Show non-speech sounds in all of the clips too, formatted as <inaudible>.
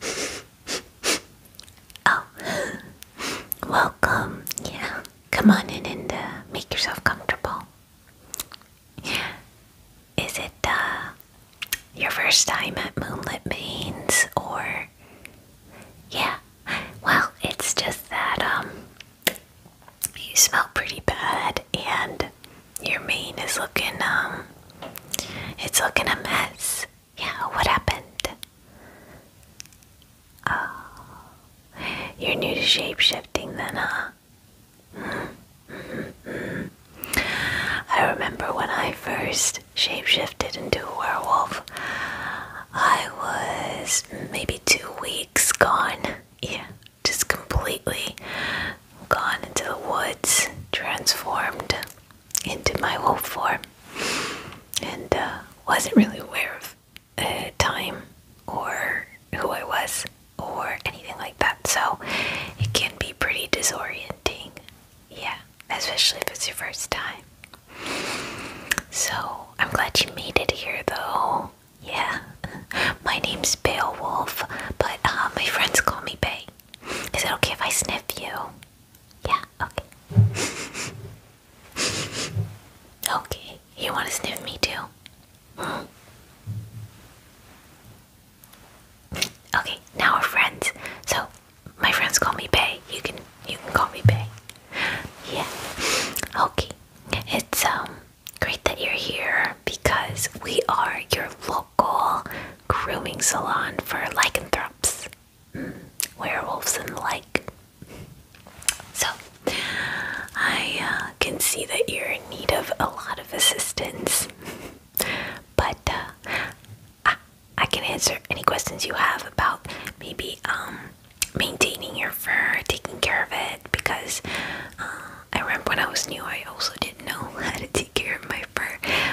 <laughs> oh, welcome. Yeah, come on in and uh, make yourself comfortable. Is it uh, your first time at Moonlit Mains, or yeah? Well, it's just that um, you smell pretty bad, and your mane is looking um it's looking a mess. Yeah, what happened? Oh, you're new to shapeshifting then, huh? I remember when I first shapeshifted into a werewolf. I was maybe two weeks gone. Yeah, just completely gone into the woods, transformed into my wolf form, and uh, wasn't really aware of uh, time or who I was or anything like that. So it can be pretty disorienting, yeah, especially if it's your first time. So I'm glad you made it here, though. Yeah, <laughs> my name's Beowulf, but uh, my friends call me Bay. Is it okay if I sniff you? Yeah, okay. <laughs> okay, you want to sniff me too? <gasps> Okay, now we're friends. So my friends call me Bay. You can you can call me Bay. Yeah. Okay. It's um great that you're here because we are your local local grooming salon for lycanthropes, mm, werewolves, and the like. So, I uh, can see that you're in need of a lot of assistance, but uh, I, can answer any questions you have about maybe um, maintaining your fur, taking care of it, because uh, I remember when I was new, I also did did know how to take care of my fur,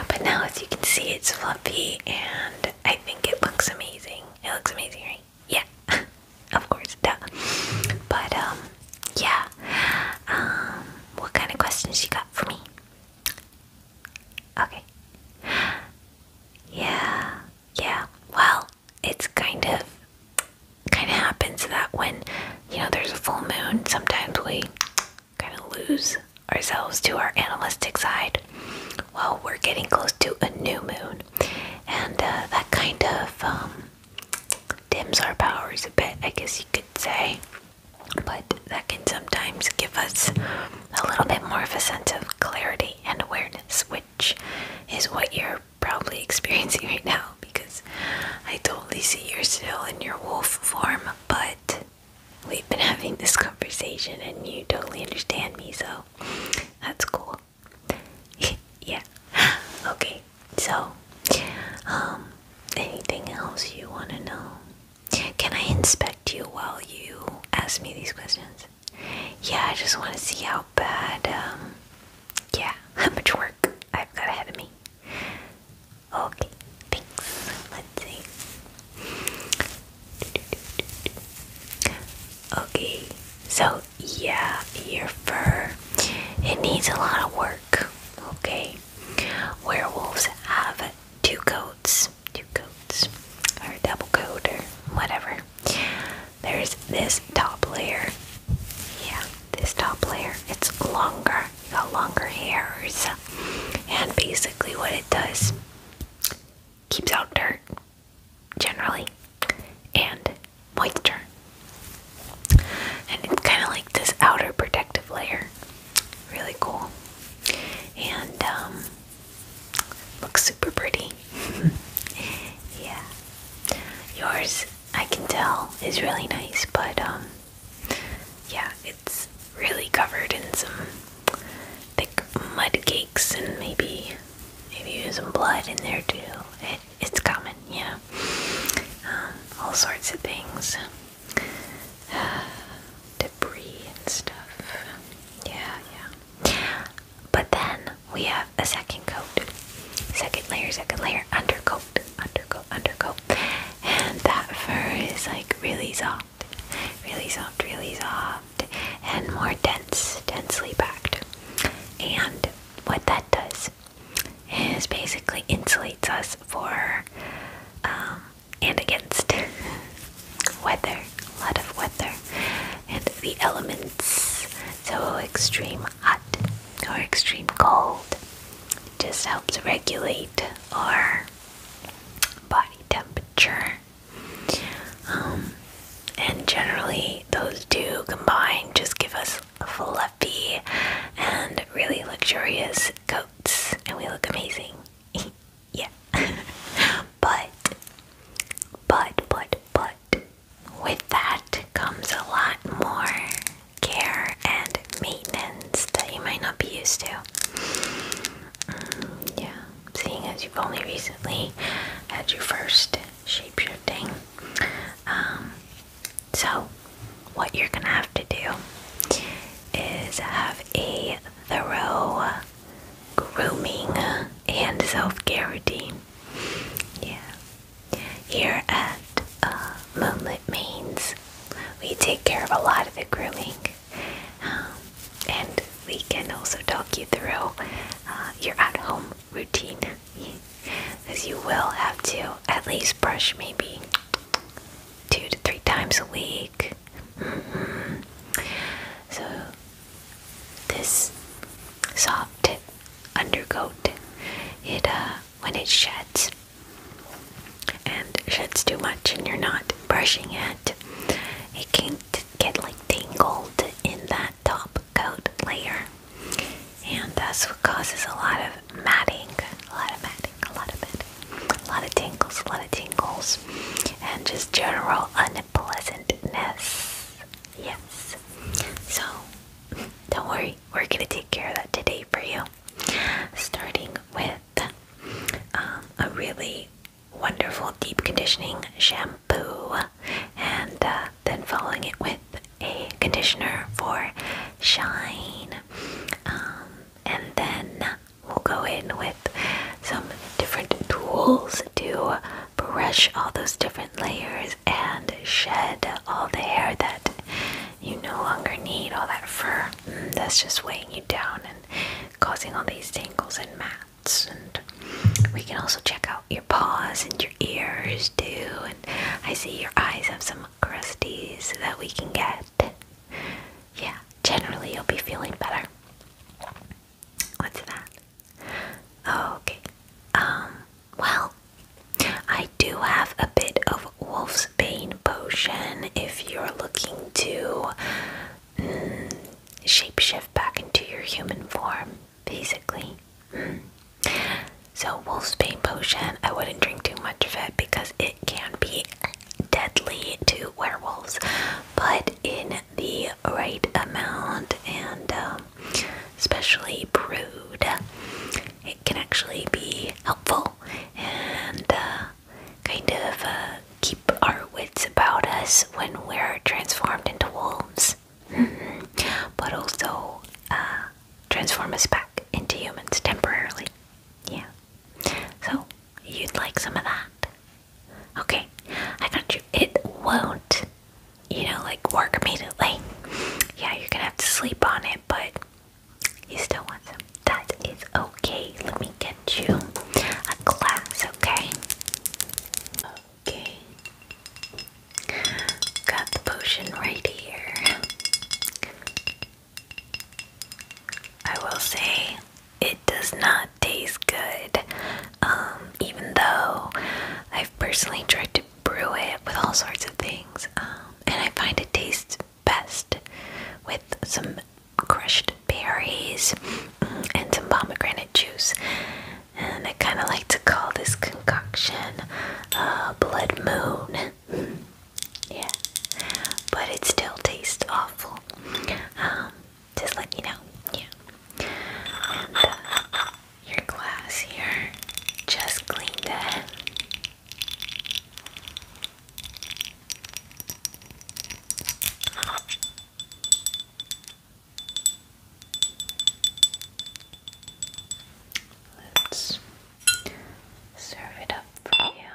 but now as you can see, it's fluffy and I think it looks amazing. It looks amazing, right? Yeah, <laughs> of course, duh. But, um, yeah. Um, what kind of questions you got for me? Okay. Yeah, yeah. Well, it's kind of kind of happens that when you know there's a full moon, sometimes we kind of lose ourselves to our analytical side. Well, we're getting close to a new moon, and uh, that kind of um, dims our powers a bit, I guess you could say. But that can sometimes give us a little bit more of a sense of clarity and awareness, which is what you're probably <laughs> experiencing right now because I totally see you're still in your wolf form, but we've been having this conversation and you totally understand me, so that's cool. <laughs> yeah. <laughs> Okay, so, um, anything else you want to know? Can I inspect you while you ask me these questions? Yeah, I just want to see how bad, um, yeah, <laughs> how much work I've got ahead of me. Okay, Let's see. Okay, so yeah, your fur it needs a lot of work. Okay, werewolves have two coats, two coats, or double coat, or whatever. There's this top layer. Yeah, this top layer. It's longer no longer hairs. And basically, what it does keeps out dirt generally and moisture. And it's kind of like this outer protective layer. Really cool. And um, looks super pretty. <laughs> yeah. Yours, I can tell, is really nice, but um, yeah, it's really covered in some thick mud cakes and maybe maybe some blood in there too. it's common, yeah. Um, all sorts of things. <sighs> debris and stuff. Yeah, yeah. But then we have a second coat. Second layer, second layer, undercoat, undercoat, undercoat. And that fur is like really soft really soft, really soft, and more dense, densely packed. And what that does is basically insulates us for um, and against <laughs> weather, a lot of weather, and the elements. So, extreme hot or extreme cold just helps regulate our body temperature. Um, and generally, those two combined just give us fluffy and really luxurious coats, and we look amazing. <laughs> yeah. <laughs> but, but, but, but, with that comes a lot more care and maintenance that you might not be used to yeah, seeing as you've only recently had your first shapeshifting. Um, so, what you're gonna have to do is have a thorough grooming and self-care routine. Yeah. Here at uh, Moonlit Mains, we take care of a lot of the grooming. Um, and we can also talk you through uh, your at home routine. as you will have to at least brush maybe two to three times a week. Mm-hmm. So, this soft undercoat, it uh, when it sheds, and sheds too much and you're not brushing it, it can get like tangled in that top coat layer. And that's what causes a lot of matting, a lot of matting, a lot of matting, a lot of tingles, a lot of tingles, and just general unpleasantness. Yes. So, don't worry, we're gonna take care of that today for you. Starting with um, a really wonderful deep conditioning shampoo, and uh, then following it with a conditioner for shine. Um, and then we'll go in with some different tools to brush all those different layers and shed all the hair that you no longer need, all that fur mm, that's just weighing you down causing all these tangles and mats. And we can also check out your paws and your ears too. And I see your eyes have some crusties that we can get. Yeah, generally you'll be feeling better. What's that? Okay. Um, well, I do have a bit of wolf's bane potion if you're looking to mm, shapeshift back into your human form, basically. So, wolf's bane potion, I wouldn't drink too much of it because it can be deadly to werewolves, but in the right amount and especially um, brewed, it can actually be helpful and uh, kind of uh, keep our wits about us when we're transformed into wolves, <laughs> but also uh, transform us back into humans temporarily. Yeah. So, you'd like some of that? Okay, I got you. It won't, you know, like work immediately. Yeah, you're gonna have to sleep on it, but you still want some. That is okay. Let me get you a glass, okay? Okay. Got the potion right here. I will say it does not taste good. Um, even though I've personally tried to brew it with all sorts of things, um, and I find it tastes best with some crushed berries, mm, and some pomegranate juice. And I kind of like to call this concoction uh, Blood Moon. <laughs> yeah, but it still tastes awful. Um, just let you know. Yeah. And uh, your glass here, just cleaned it. Let's serve it up for you.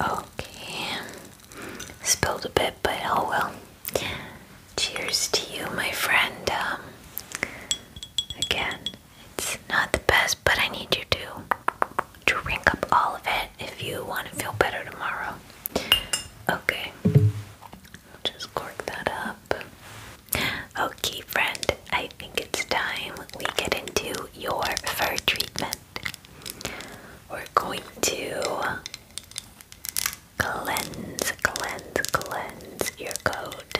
Okay, spilled a bit, but oh well. Cheers to you, my friend. Um, again, it's not the best, but I need you to drink up all of it if you want to feel better tomorrow. Okay, just cork that up. Okay, friend, I think it's time we get into your fur treatment. We're going to cleanse, cleanse, cleanse your coat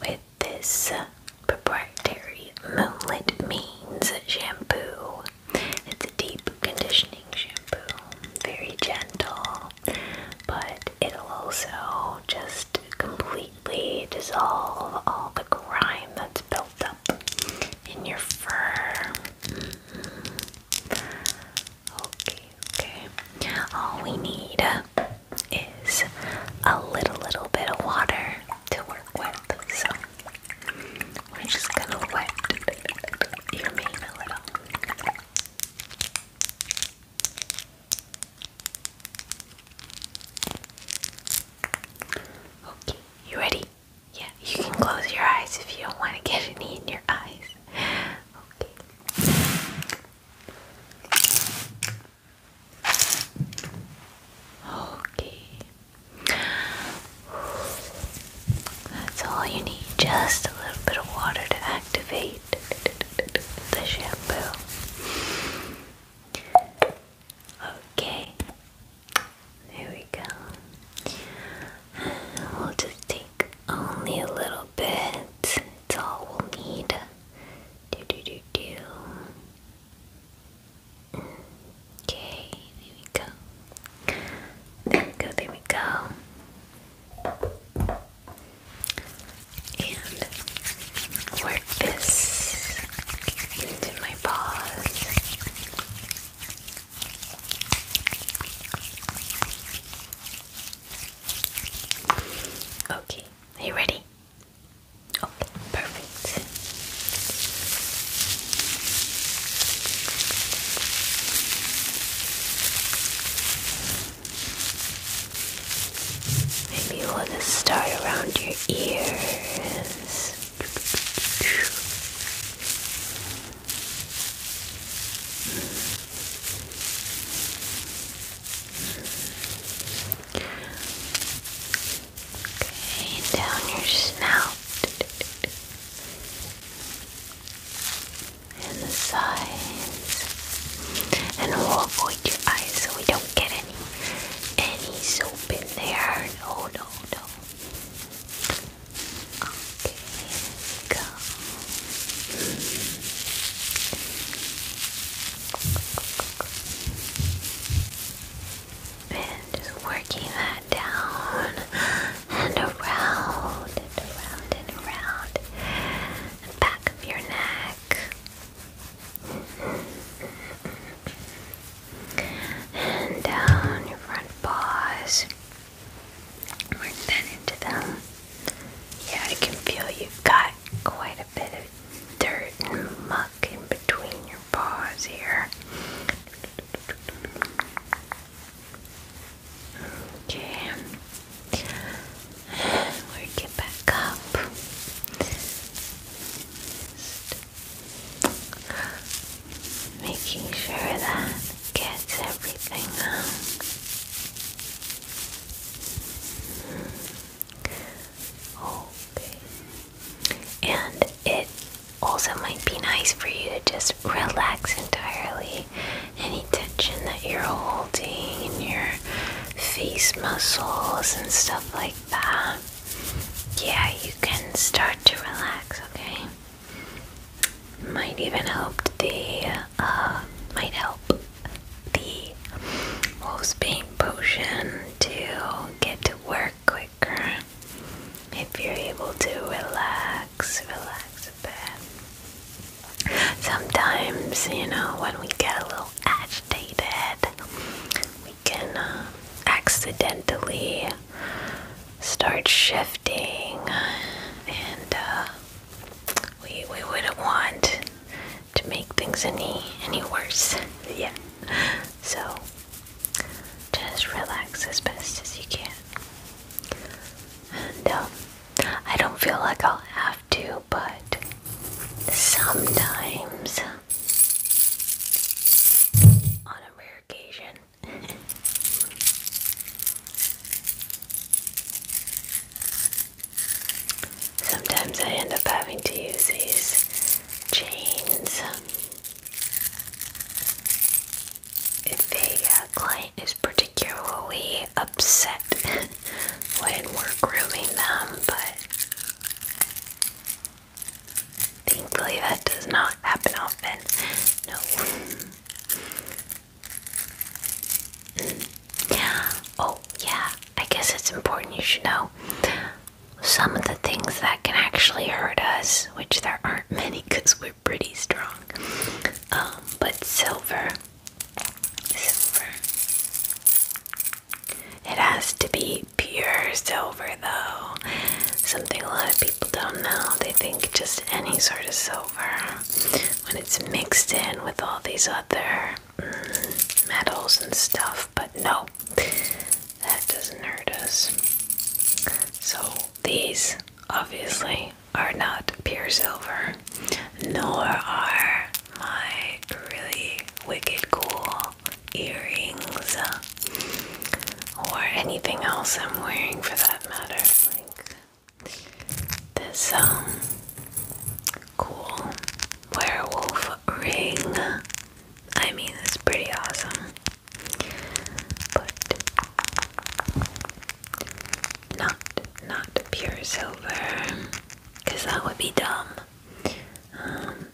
with this proprietary Moonlit Means shampoo. It's a deep conditioning shampoo, very gentle, but it'll also just completely dissolve all the grime that's built up in your fur. Okay, okay. All we need is a little, little bit of water to work with. So we're just gonna wet your mane a little. Okay, you ready? Yeah, you can close your eyes if you don't want to get any in your eyes. Okay. Okay. That's all you need. Just a little bit of water to activate the shampoo. Okay. There we go. We'll just take only a little bit it's all we'll need. Okay, there we go. go, there we go. And work this into my paws. Okay, are you ready? Okay, perfect. Maybe we'll start around your ears. Okay, down your snout and the sides, and we'll avoid your eyes so we don't get any any soap in there. No, no, no. Okay, good. And just working that down and around and around and around the back of your neck. And down your front paws. Work that into them. Yeah, I can feel you've got quite a bit of dirt and muck in between your paws here. Okay. Work it back up. making sure that gets everything out. Okay. And it also might be nice for you to just relax entirely. Any tension that you're holding in your face muscles and stuff like that. Yeah, you can start to relax, okay? Might even help the uh, might help the wolf's pain potion to get to work quicker if you're able to relax, relax a bit. Sometimes, you know, when we get a little agitated, we can uh, accidentally start shifting and uh, we we wouldn't want to make things any any worse. yeah. So just relax as best as you can. Um, I don't feel like I'll have to, but sometimes on a rare occasion. <laughs> Sometimes I end up having to use these chains. Um, if a uh, client is particularly upset <laughs> when we're grooming them, but thankfully that does not happen often. No oh, yeah, I guess it's important you should know some of the things that can actually hurt us, which there aren't many because we're pretty strong. Um, but silver, silver. It has to be pure silver, though. Something a lot of people don't know. They think just any sort of silver when it's mixed in with all these other metals and stuff, but no, that doesn't hurt us. So these obviously are not pure silver, nor are my really wicked cool earrings or anything else I'm wearing for that matter. Like this um, cool werewolf ring. I mean, it's pretty awesome, but not not pure silver, cause that would be dumb. Um,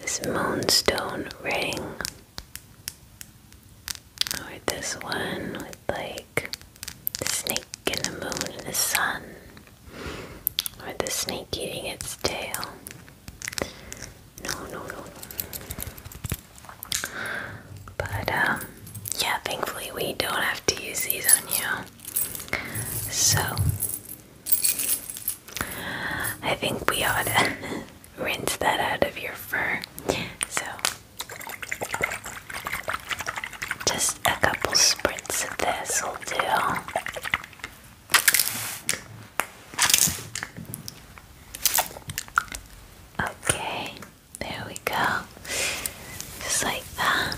this moonstone ring, or this one with like the snake and the moon and the sun, or the snake eating its tail. No, no, no. But, um, yeah, thankfully we don't have to use these on you. So, I think we ought to <laughs> rinse that out of your fur. So, just a couple spritz of this will do. Okay, there we go. Just like that.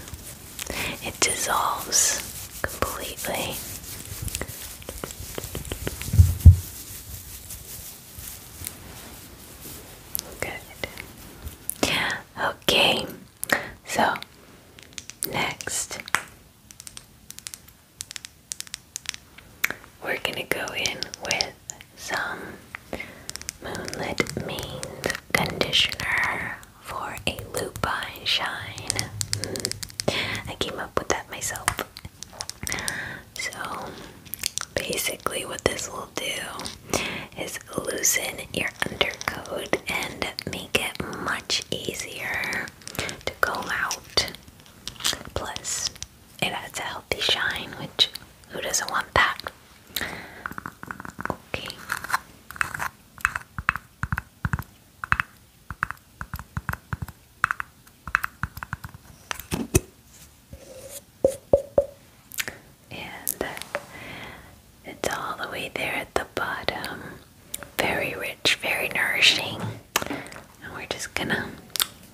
It dissolves completely. Good. Okay. So, next, we're gonna go in with some Moonlit Means conditioner for a lupine shine. Mm. I came up with that myself. So, basically, what this will do is loosen your undercoat and make it much easier to go out. Plus, it adds a healthy shine, which who doesn't want that? Okay and it's all the way there at the bottom. Very rich, very nourishing. And we're just gonna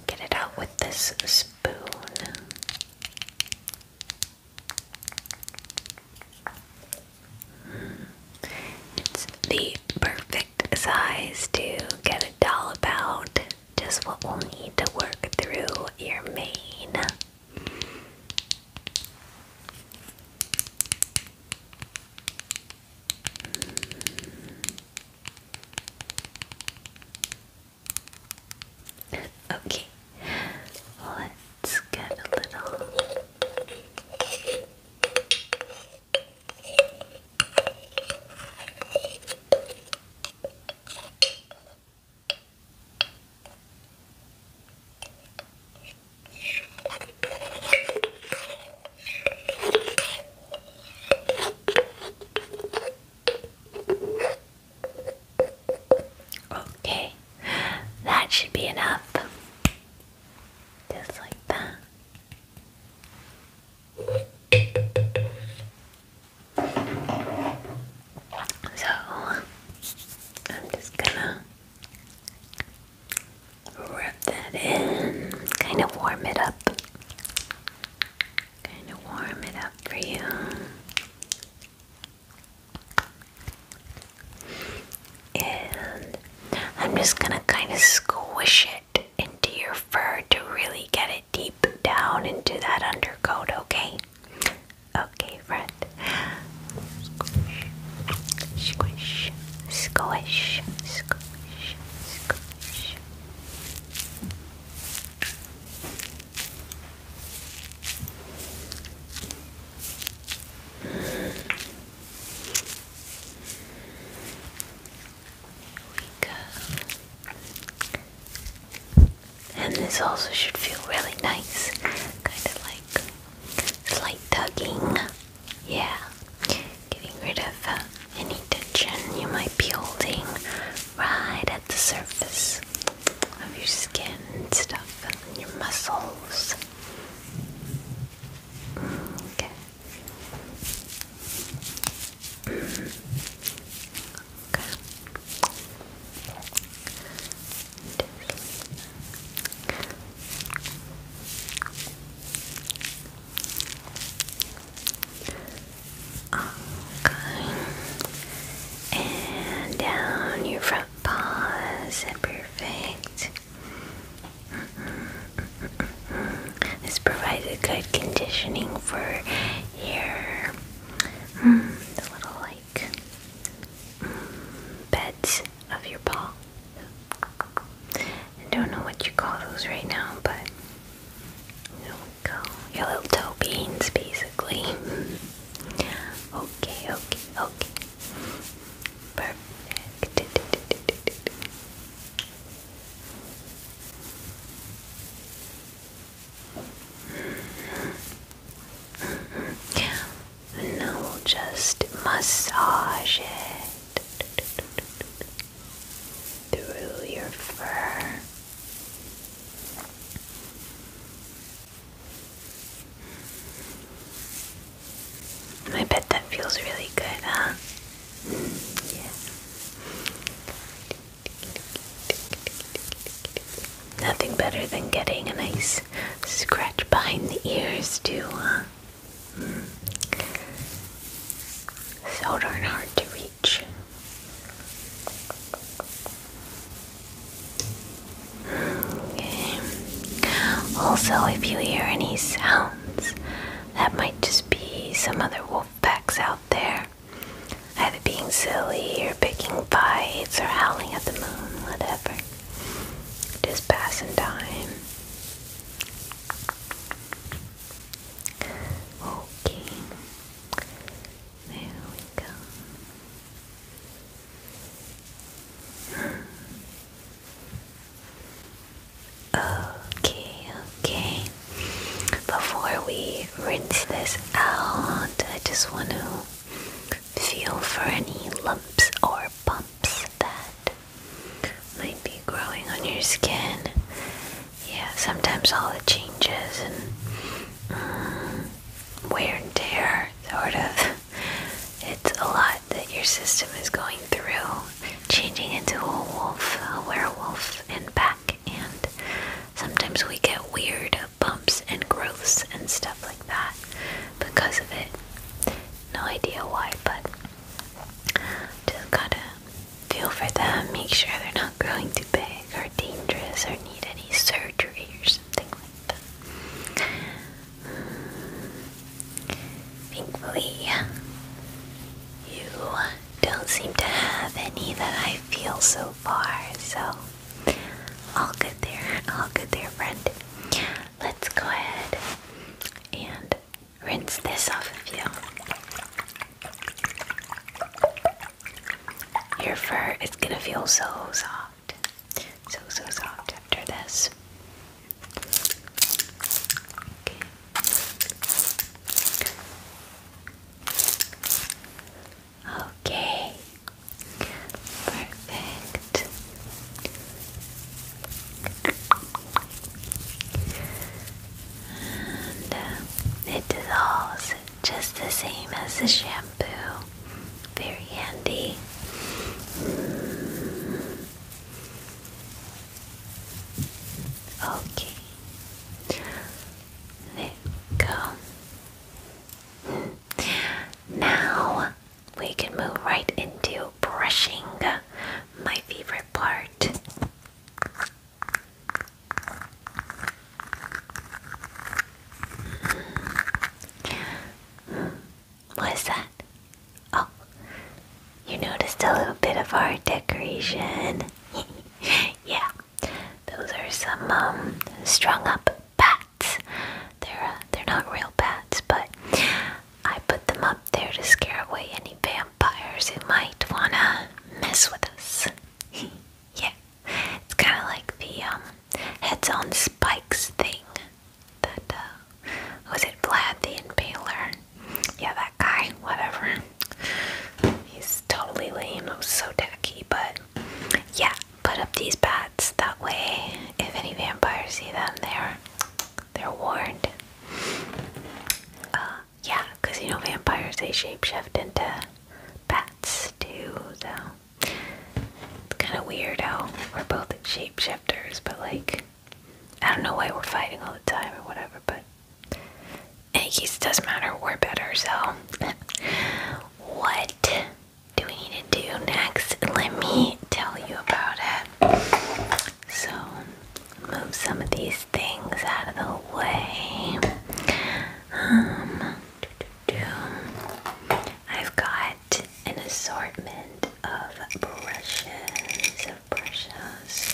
get it out with this spoon. It's the perfect size to get it all about. Just what we'll need to work through your mane. Okay, let's get a little. Okay, that should be enough. Just like that. So, I'm just gonna Rub that in, kind of warm it up. Kind of warm it up for you. And I'm just gonna kind of squish it into your fur to really get it deep down into that undercoat, okay? Okay, friend. Squish, squish, squish, squish, squish. We go. And this also should feel really nice, kind of like Slight tugging, yeah, getting rid of uh, any tension you might be holding right at the surface of your skin and stuff, and your muscles. Okay. Okay. And down your front paws. Perfect. Mm -mm, mm good conditioning for your mm, little like Mm, beds of your paw. I don't know what you call those right now, but there we go. Your little toe beans, basically. <laughs> okay, okay, okay. Perfect. <laughs> And now we'll just massage it through your fur. I bet that feels really good, huh? Yeah. Nothing better than getting a nice Scratch behind the ears too, huh? Hmm. So darn hard to reach. Hmm, okay. Also, if you hear any sounds, that might just be some other wolf packs out there, either being silly or picking fights or howling at the moon, whatever. Just passing time. Okay. There we go. Okay, okay. Before we rinse this out, I just want to feel for any lumps or bumps that might be growing on your skin. Yeah, sometimes all the changes and mm, wear and tear, sort of. <laughs> It's a lot that your system is going through, changing into a wolf, a werewolf, and back. And sometimes we get weird bumps and growths and stuff like that because of it. No idea why, but just gotta feel for them, make sure they're not growing too big or dangerous or need any surgery or something like that. Thankfully, you don't seem to have any that I feel so far, so all good there, all good there, friend let's go ahead and rinse this off of you. Your fur is gonna feel so soft, so so soft after this. Okay. Perfect. And uh, it dissolves just the same as the shampoo. Very handy. Okay. There we go. Now we can move right into brushing, my favorite part. Hmm. What is that? Oh, you noticed a little bit of our decoration. <laughs> yeah, those are some um, strung up bats. They're uh, they're not real bats, but I put them up there to scare away any vampires who might wanna mess with us. <laughs> yeah, it's kind of like the um, heads on spikes thing. That uh, was it, Vlad the Impaler? Yeah, that guy. Whatever. He's totally lame. I'm so tacky, but yeah, put up these bats. That way, if any vampires see them, they're they're warned. Uh, yeah, because you know vampires they shapeshift into bats too, so it's kind of weird how we're both shapeshifters, but like I don't know why we're fighting all the time or whatever. But it doesn't matter. We're better, so <laughs> what? do we need to do next? Let me tell you about it. So, move some of these things out of the way. Um, I've got an assortment of brushes, of brushes.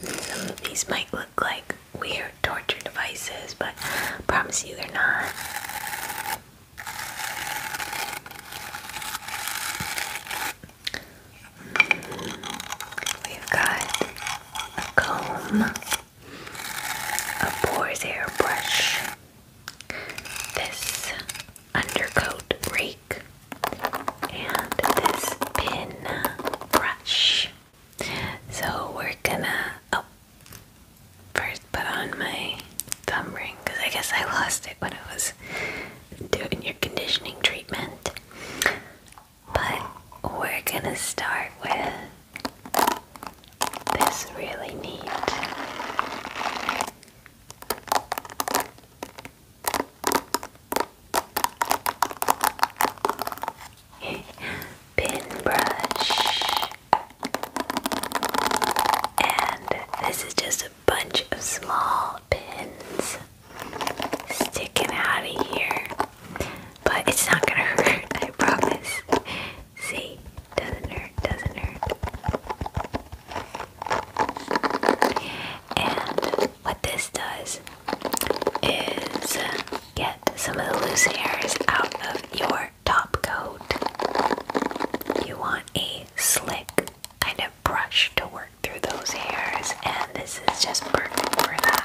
Some of these might look like weird torture devices, but I promise you they're not. We've got a comb, a boar's airbrush, this undercoat rake, and this pin brush. So we're gonna oh first put on my thumb ring because I guess I lost it when I was doing your conditioning treatment. But we're gonna start with this really neat <laughs> pin brush and this is just a bunch of small pins sticking out of here but it's not gonna <laughs> hurt I promise see doesn't hurt doesn't hurt and what this does is get some of the loose hairs out of your top coat. You want a slick kind of brush to work through those hairs, and this is just perfect for that.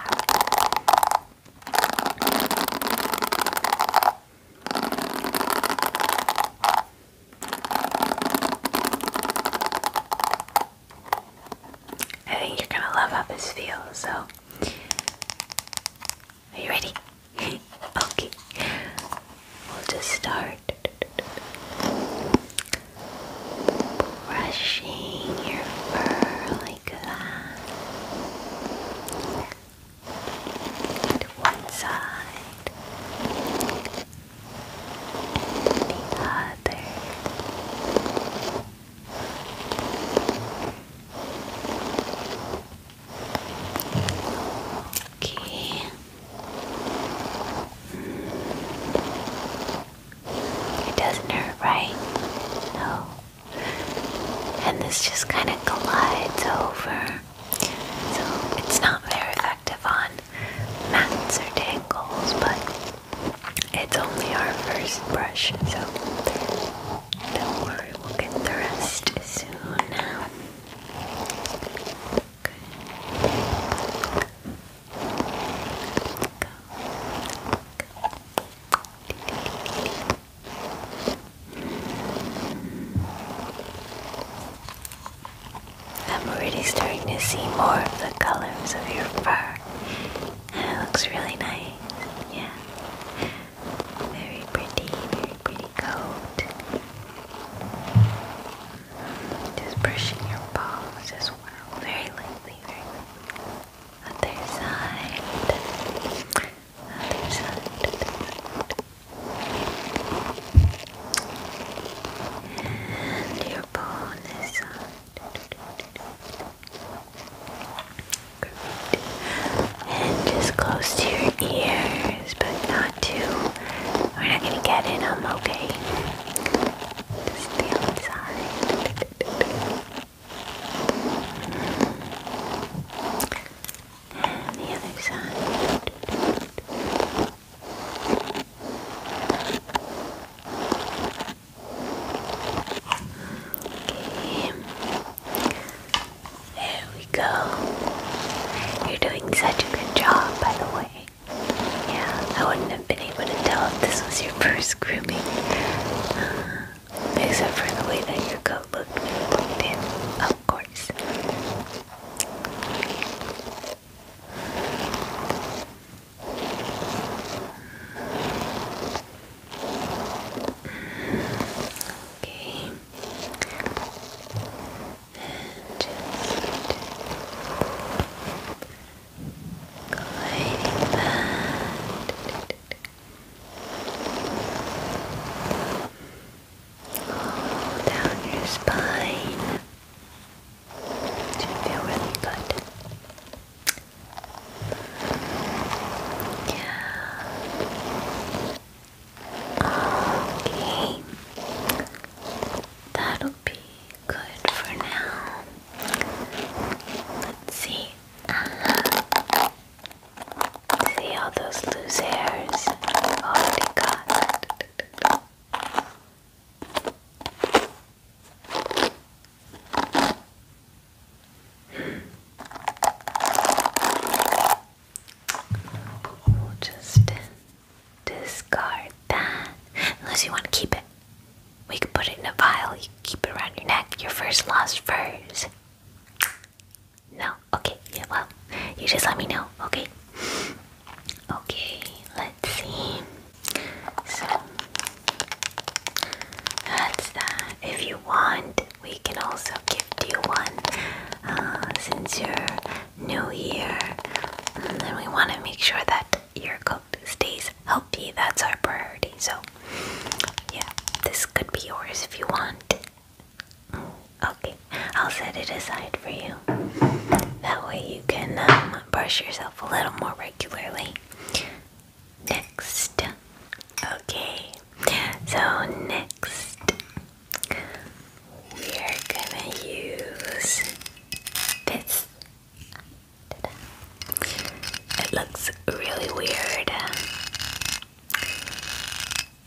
I think you're gonna love how this feels, so are you ready? <laughs> okay. We'll just start brushing your fur like To one side the other. Okay. It doesn't hurt, right? No. And this just kind of glides over. So it's not very effective on mats or tangles, but it's only our first brush, so don't worry, we'll get the rest soon. Good. I'm already starting to see more of the colors of your fur it looks really nice. Yeah. Very pretty, very pretty coat. Just brushing your paws as well. Very lightly, very Other side. Other side. And your paw and just close to your ears, but not too. We're not gonna get in them, okay? the outside. And the other side. There we go. You're doing such a good job, by the way. Yeah, I wouldn't have been able to tell if this was your first grooming. except for the way that your coat looked when of course. Okay. And just gliding that all down your spine. Do Should feel really good. Yeah. Okay. That'll be good for now. Let's see. Uh-huh. See all those loose hairs? Oh, they got. We'll just discard that. Unless you want to keep it. We can put it in a vial, you keep it around your neck, your first lost furs. No? Okay, yeah, well, you just let me know, okay? Okay, let's see. So that's that. If you want, we can also gift you one uh, since you're new here. And then we want to make sure that your coat stays healthy. That's our priority. So, yeah, this could be yours if you want. Okay, I'll set it aside for you. That way you can um, brush yourself a little more regularly. Next. Okay. So next we are gonna use this. It looks really weird,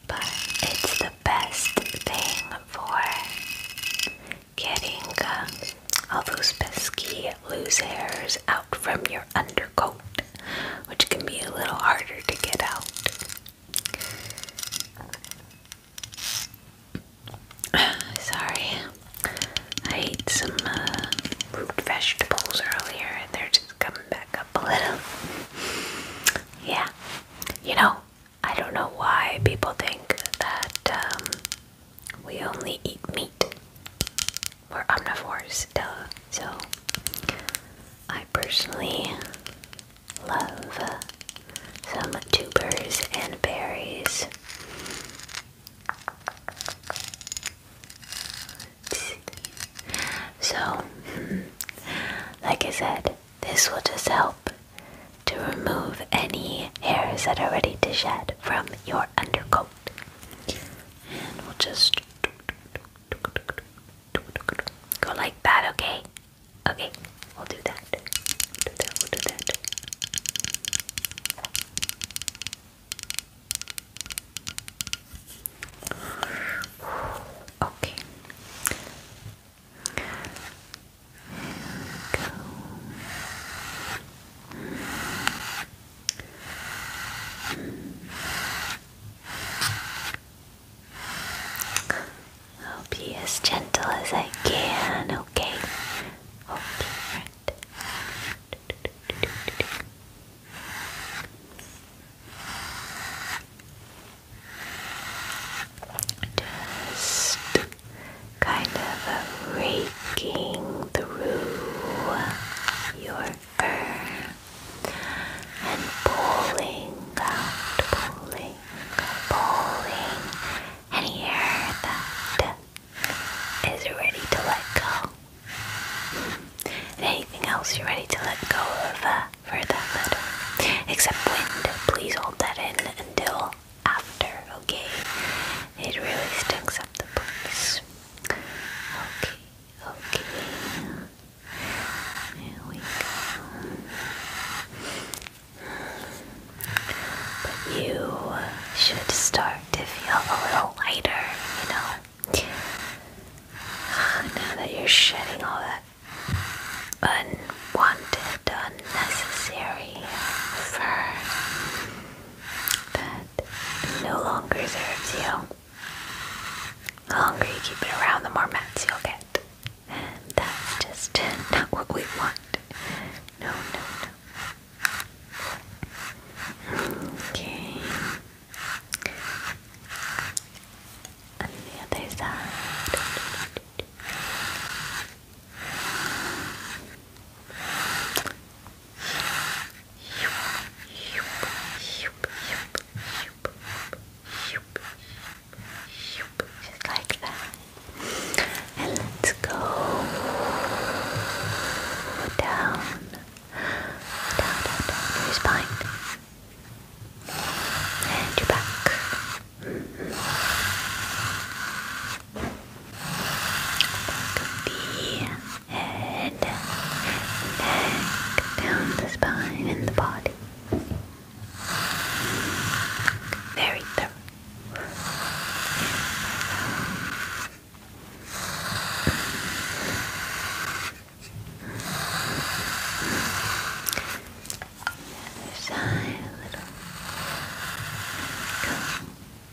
but it's the best thing for getting uh, all those pesky loose hairs out from your undercoat, which can be a little harder to get out. <sighs> Sorry, I ate some uh, root vegetables earlier and they're just coming back up a little. Yeah, you know, I don't know why people think that um, we only eat meat. We're omnivores, duh. So, I personally love uh, some tubers and berries. So, <laughs> like I said, this will just help to remove any hairs that are ready to shed from your undercoat. And we'll just go like that, okay? Okay, we'll do that. We'll do that, we'll do that. Okay. I'll be as gentle as I can, okay? Just kind of erase Breaking through your fur and pulling out, pulling, pulling any hair that is ready to let go. anything else you're ready to let go of uh, for that matter. Except wind, please hold that in until after, okay? It really stinks up the place. Okay, okay. There we go. But you should start to feel a little lighter, you know? <sighs> Now that you're shedding all that unwanted, unnecessary fur that no longer serves you. The longer you keep it around, the more mats you'll get. And that's just not what we want. No, no, no. Okay. On the other side. Just like that. And let's go down, down, down, down your spine and your back. Mm -hmm the head, neck, down the spine and the body. Very thorough. Sigh a little.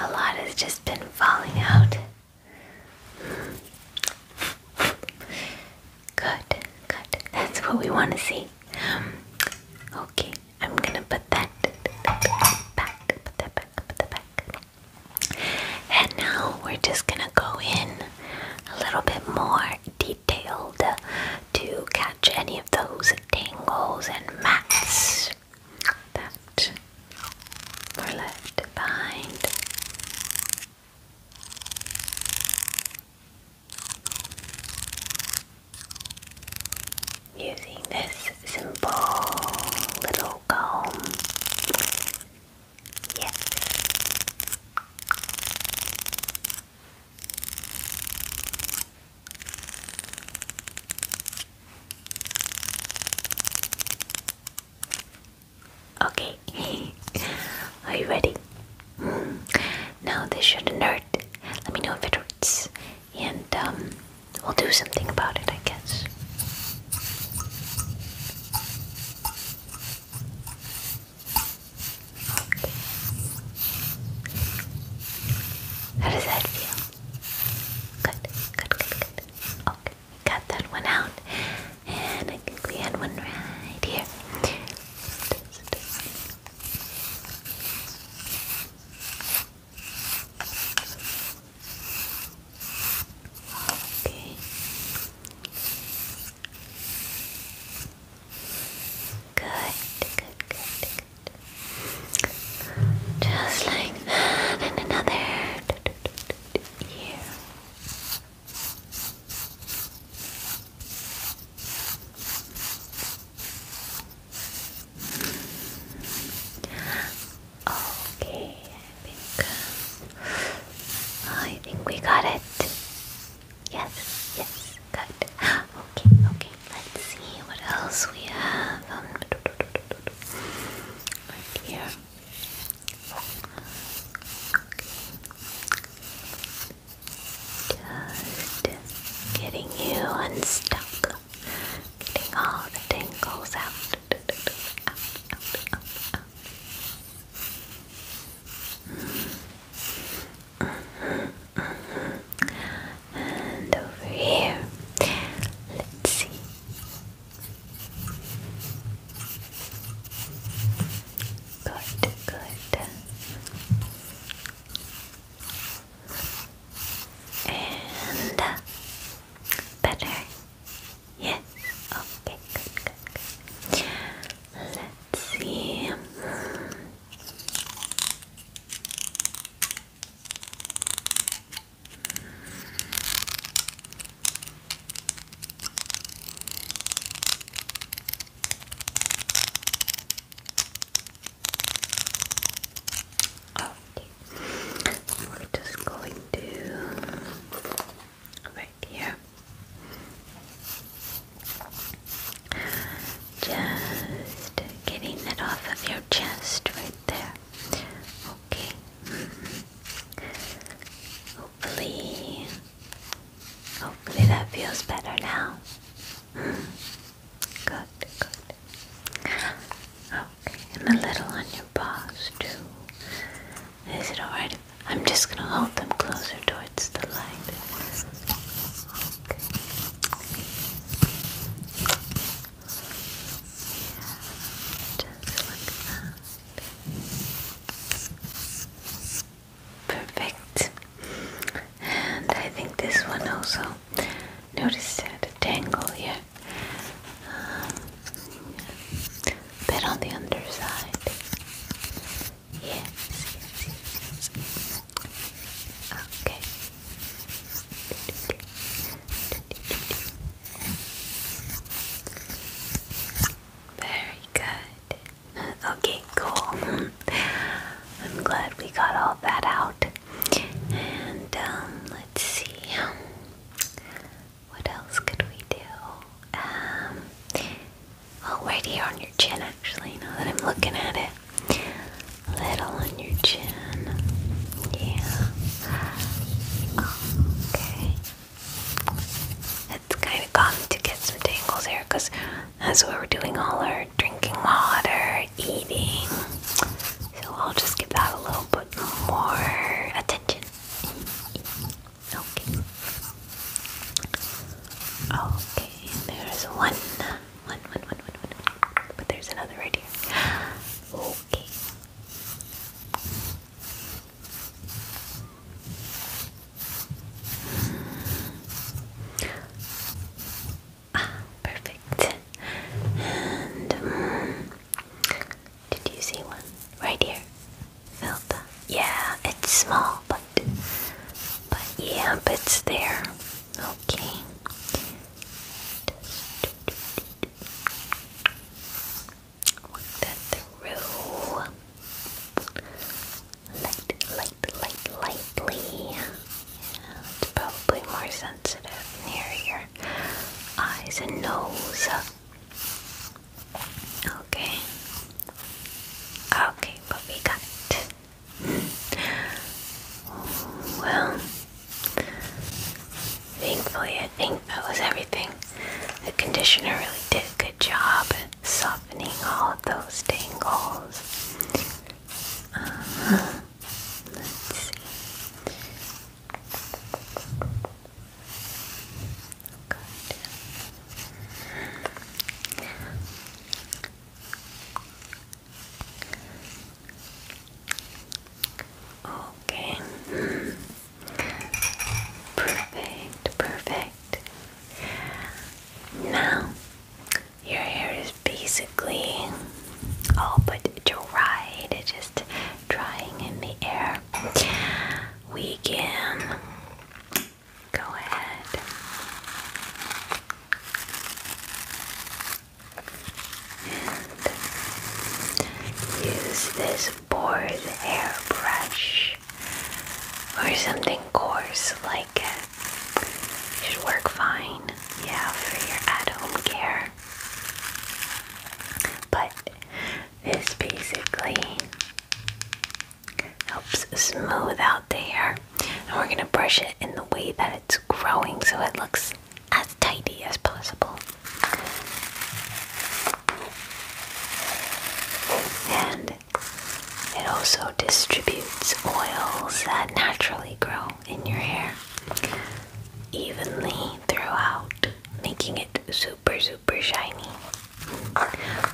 A lot has just been falling out. Good, good. That's what we want to see. Okay, I'm gonna put that back, put that back, put that back. And now we're just gonna go in a little bit more detailed to catch any of those tingles, and mats that were left behind. Using this simple little comb. Yes. Okay, <laughs> are you ready? Hmm. Now this shouldn't hurt. Let me know if it hurts, and um, we'll do something about it, I guess. How does that feel? Good, good, good, good. Okay, got that one out. And I think we had one right here. Okay. Good, good, good, just like that, another ear. Okay, I think I think we got it. Yes, yes. <gasps> Okay, okay. Let's see what else we have. Um, here. Just getting you unstuck. Getting all the tangles out. And over here, let's see. Good, good. And better. Yes. Okay, good, good. Let's see. Okay. We're just going to right here. Just getting it off of your chest right there. Okay. Mm Hopefully, hopefully that feels better now. Good, good. Okay, and a little on your paws too. Is it alright? I'm just gonna hold them closer towards the light. Just like that. Perfect. And I think this one also. Notice that a tangle here. Um, bit on the underside. Yes, yes, yes, yes. Okay. Very good. Okay, cool. I'm glad we got all that out. And um, let's see. What else could we do? Um, oh, right here on your chin, actually, now that I'm looking at it little on your chin. Yeah. Okay. It's kind of gone to get some tangles here because that's where we're doing all our drinking water, eating. So I'll just give that a little bit more attention. Okay. Okay, there's one. One, one, one, one, one. But there's another right here. Okay. Ah, perfect. And um, did you see one right here? Filta. Yeah, it's small, but but yeah, but it's there. Okay. work that through. Light, light, light, lightly. it's probably more sensitive near your eyes and nose. Okay. Okay, but we got well, thankfully, I think that was everything. The conditioner really did a good job softening all of those tangles. Uh-huh, let's see. Good. Okay. Perfect, perfect. Now, your hair is basically all but dried, just drying in the air. We can go ahead use this board hairbrush or something coarse like it. Should work fine, yeah, for your at-home care. But this basically helps smooth out the hair, and we're gonna brush it in the way that it's growing so it looks as tidy as possible. And it also distributes oils that naturally grow in your hair evenly throughout, making it super, super shiny,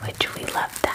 which we love that.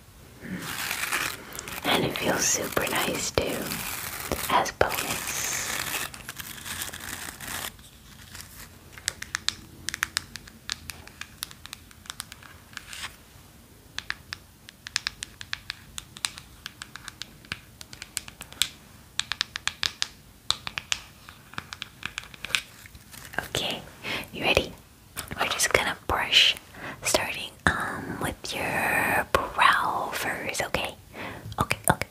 And it feels super nice too, as bonus. Okay, you ready? We're just gonna brush, starting um with your brow first. Okay, okay, okay.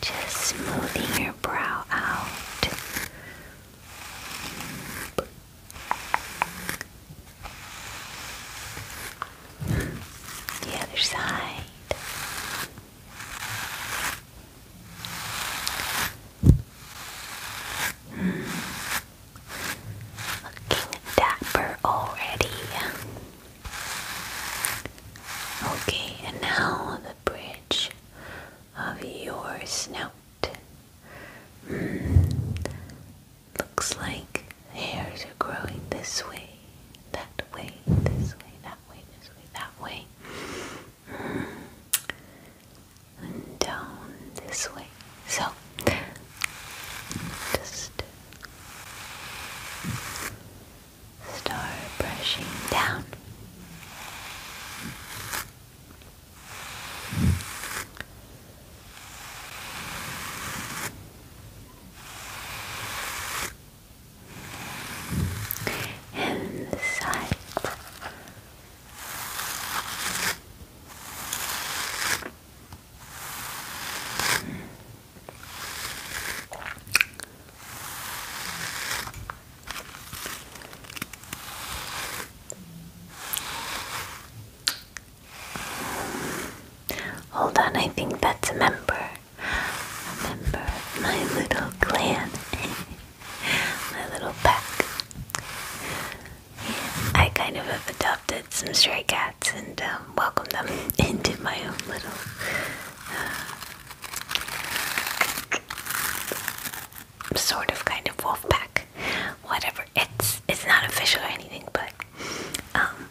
Just smoothing your brow out. The other side. Looking dapper already. Okay, and now the bridge of your snout. Hmm. Looks like hairs are growing this way, that way, this way, that way, this way, that way. Hmm and down this way. So, just start brushing down. And side. Hold on, I think that's a member. A member my little clan. <laughs> my little pack. I kind of have adopted some stray cats and um, welcomed them <laughs> into my own little uh, sort of kind of wolf pack. Whatever. It's it's not official or anything, but um,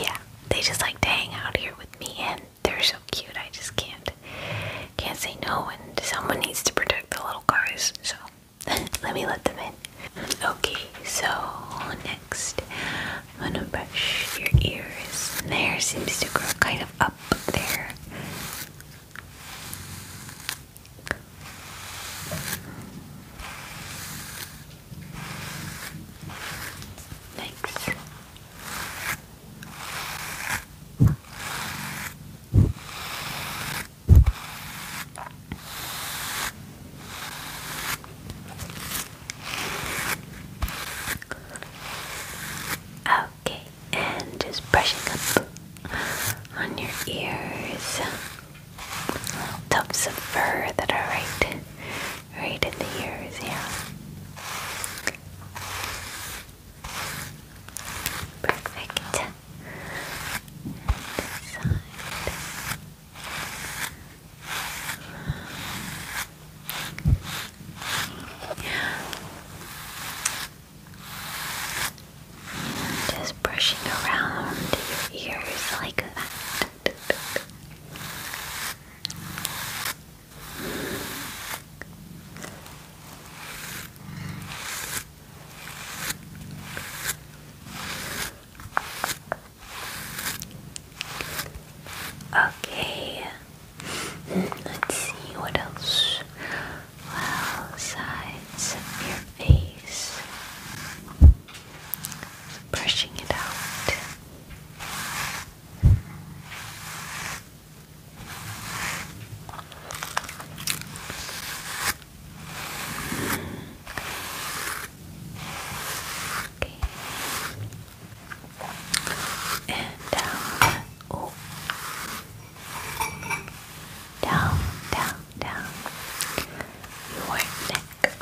yeah, they just like to hang out here with me, and they're so cute. I just can't can't say no, and someone needs to protect the little guys, so. <laughs> let me let them in. Okay, so next I'm gonna brush your ears. The hair seems to grow kind of up there. Thanks. Okay, and just brushing up on your ears, little tufts of fur that are right, right in the ears, yeah. Perfect inside. Just brushing around your ears like that. Okay, <laughs> let's see what else. Well, sides of your face, brushing it out. Okay. down. Oh. Down, down, down. Your neck.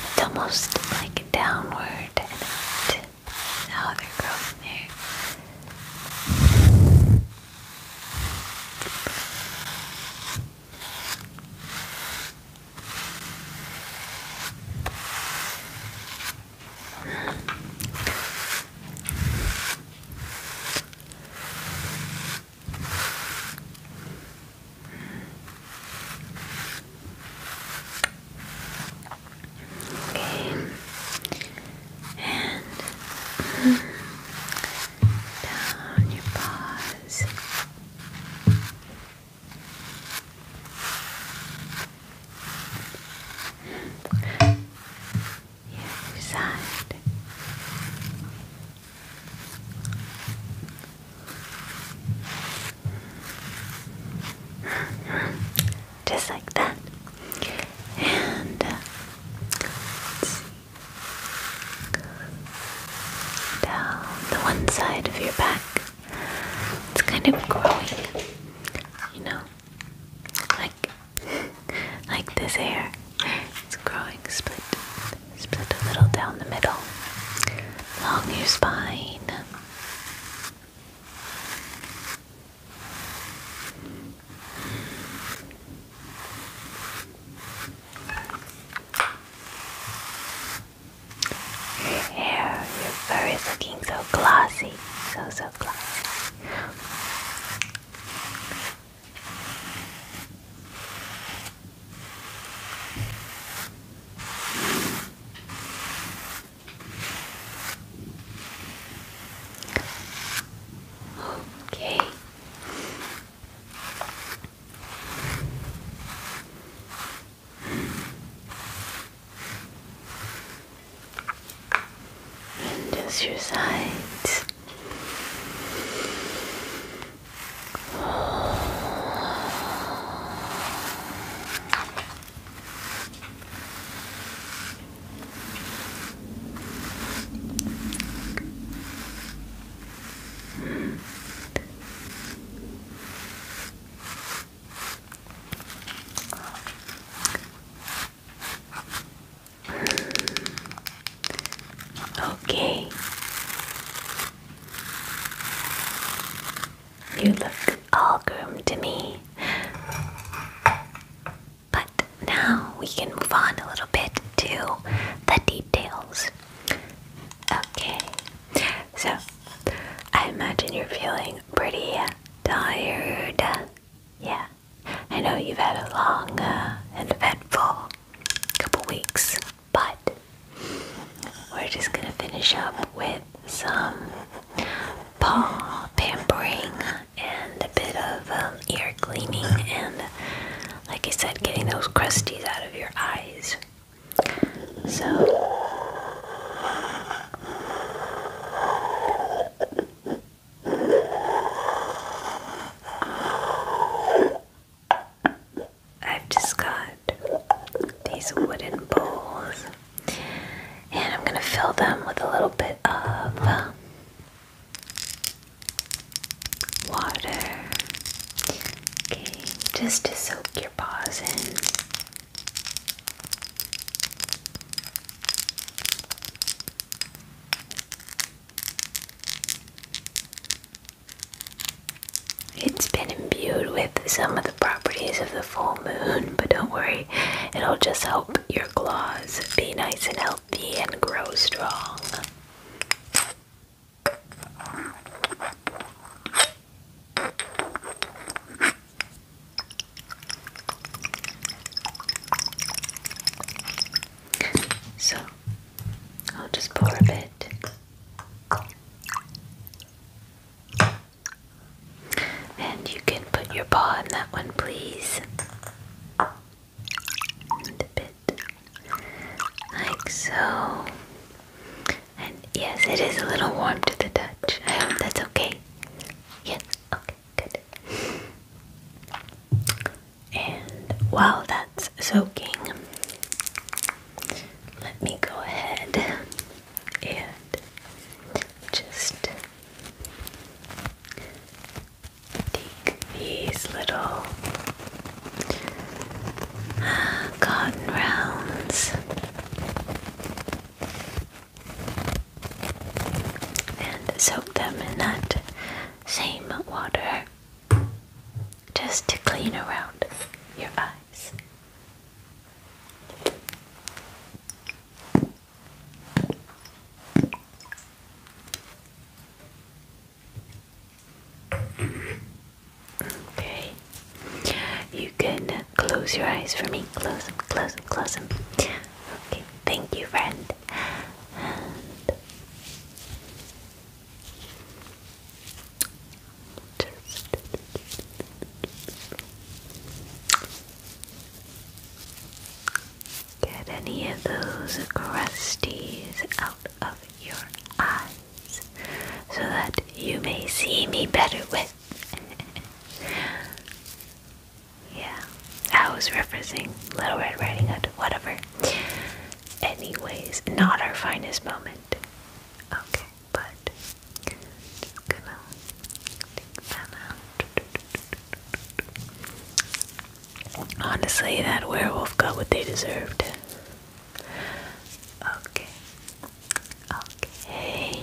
It's almost like downward and out. The other girl in Okay. And mm, down your paws. The other Just like that. And uh, down the one side of your back. It's kind of growing, you know, like <laughs> like this hair. It's growing split, split a little down the middle, along your spine. Your your fur is looking so glossy, so so glossy. Okay. And Just your sides. Okay, you look all groomed to me. But now we can move on a little bit to the details. Okay, so I imagine you're feeling pretty tired. Yeah, I know you've had a long and uh, eventful couple weeks, but we're just gonna finish up with some paw pampering and a bit of um, ear cleaning and like I said, getting those crusties out of your eyes. So, I've just got these wooden bowls, and I'm going to fill them with a little bit of um, water. Okay, just to soak your paws in. It's been imbued with some of the properties of the full moon, but don't worry, it'll just help your claws be nice and healthy and grow strong. So I'll just pour a bit. And you can put your paw in that one, please and a like so. And yes, it is a little warm to the touch. I hope that's okay. Yes, okay, good. And while that's soaking, let me go ahead and just take these little uh, cotton rounds and soak them in that same water just to clean around your eyes. Okay. You can close your eyes for me. Close them, close them, close them. Okay. Thank you, friend. get any of those crusties out of your eyes so that you may see me better with. <laughs> yeah, I was referencing Little Red Riding Hood, whatever. Anyways, not our finest moment. Okay, but just gonna Honestly, that werewolf got what they deserved. Okay. Okay.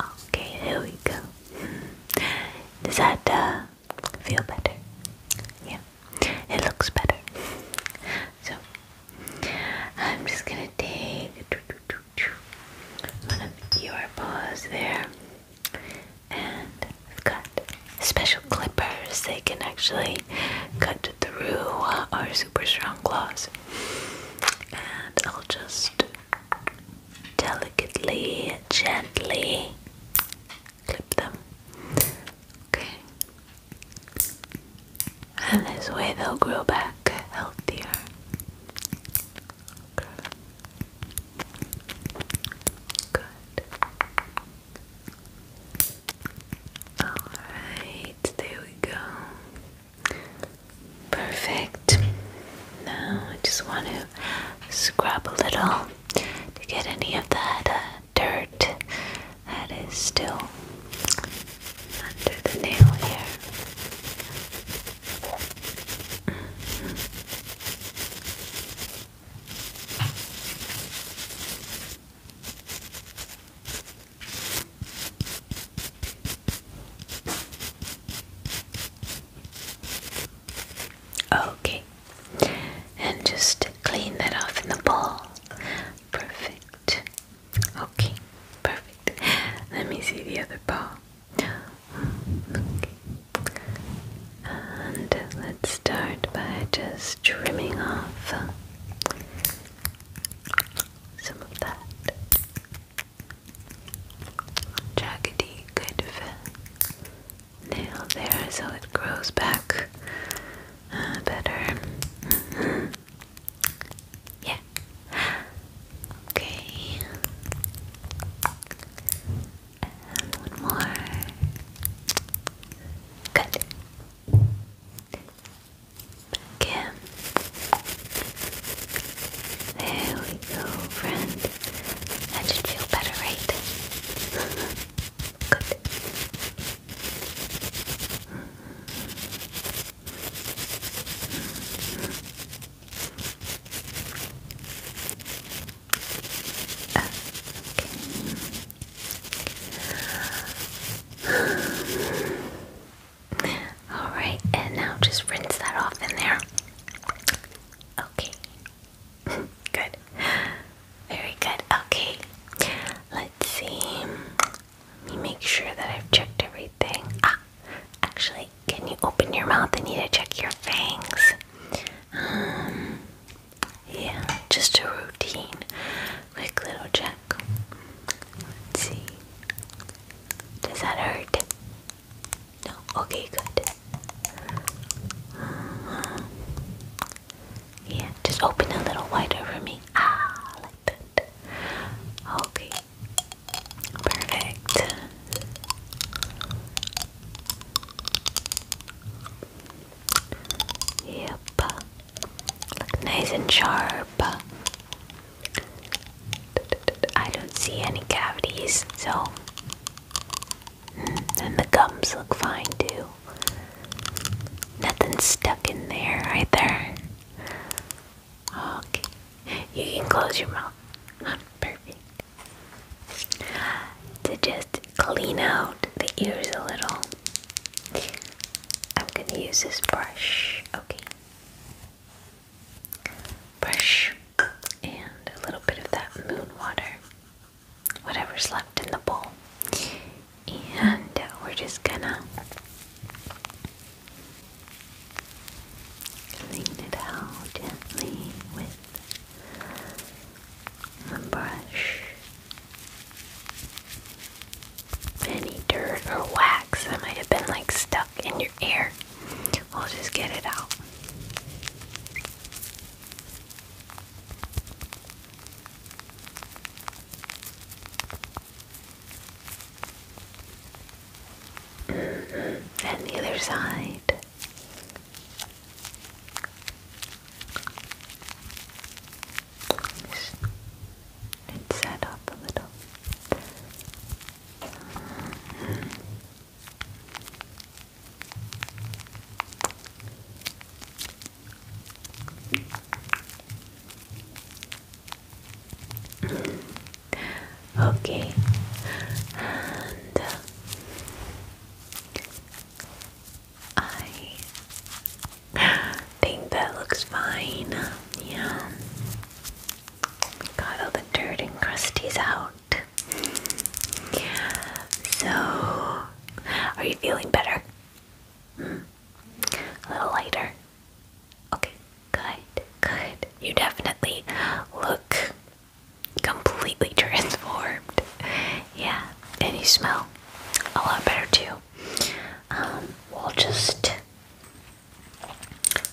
Okay, there we go. Does that uh, feel better? Yeah, it looks better. So, I'm just gonna take one of your paws there, and I've got special clippers. They can actually cut through our super strong claws, and I'll just delicately, gently clip them. Okay and this way they'll grow back healthier. Alright, there we go. Perfect. Now I just want to scrub a little to get any of that uh, dirt that is still under the nail here. Okay, and just clean that off in the bowl. Perfect. Okay, perfect. Let me see the other paw. Okay. And let's start by just trimming off some of that jaggedy good nail there so it grows back uh, better. Mm-hmm. Yeah. Okay. one more. Good. Again. There we go, friend. That should feel better, right? <laughs> Good. Okay. All right, and now just rinse that off in there. Okay. good. Very good. Okay. Let's see. Let me make sure that I've checked everything. Ah, actually, can you open your mouth? I need to check your fangs. Um, yeah, just a routine, quick little check. Let's see. Does that hurt? No. Okay, good. Uh-huh. Yeah, just open a little wider for me. Ah, like that. Okay, Perfect. Yep. nice and sharp. I don't see any cavities, so. Hmm, and the gums look fine too. Nothing stuck in there either. Okay. You can close your mouth. <laughs> Perfect. To just clean out the ears a little, I'm going to use this brush. Okay. Brush and a little bit of that moon water, whatever's left in the bowl. And we're just gonna Clean it out gently with a brush. Any dirt or wax that might have been like stuck in your ear, we'll just get it out and the other side. It's set up a little. Okay, uh, I think that looks fine. Yeah, got all the dirt and crusties out. So, are you feeling better? Hmm. A little lighter. Okay, good, good. You definitely look completely <laughs> transformed. Yeah, and you smell a lot better too. Um, we'll just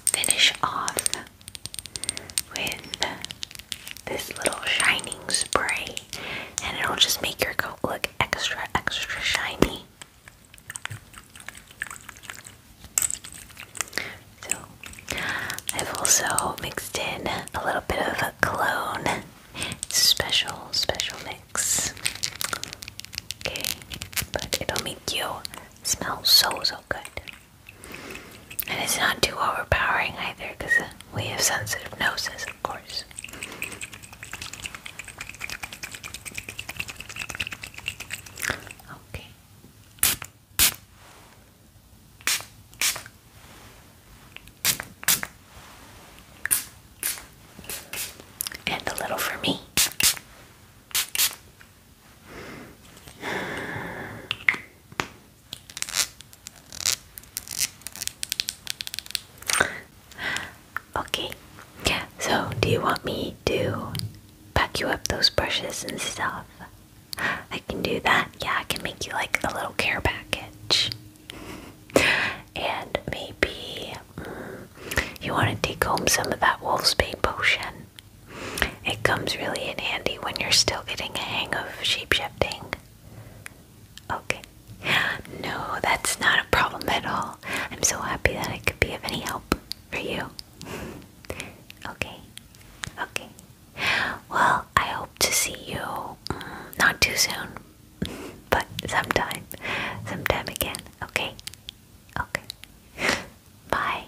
finish off with this little shining spray, and it'll just make your coat look extra, extra shiny. So I've also mixed in a little bit of a clone. It's special, special mix. Okay, but it'll make you smell so, so good. And it's not too overpowering either because we have sensitive noses, of course. Okay. And a little for me. Okay, so do you want me to pack you up those brushes and stuff. I can do that. Yeah, I can make you like a little care package. and maybe mm, you want to take home some of that wolf's bane potion. It comes really in handy when you're still getting a hang of shapeshifting. Okay. No, that's not a problem at all. I'm so happy that I could be of any help for you okay, okay. Well, I hope to see you mm, not too soon, but sometime, sometime again. Okay, okay. <laughs> Bye.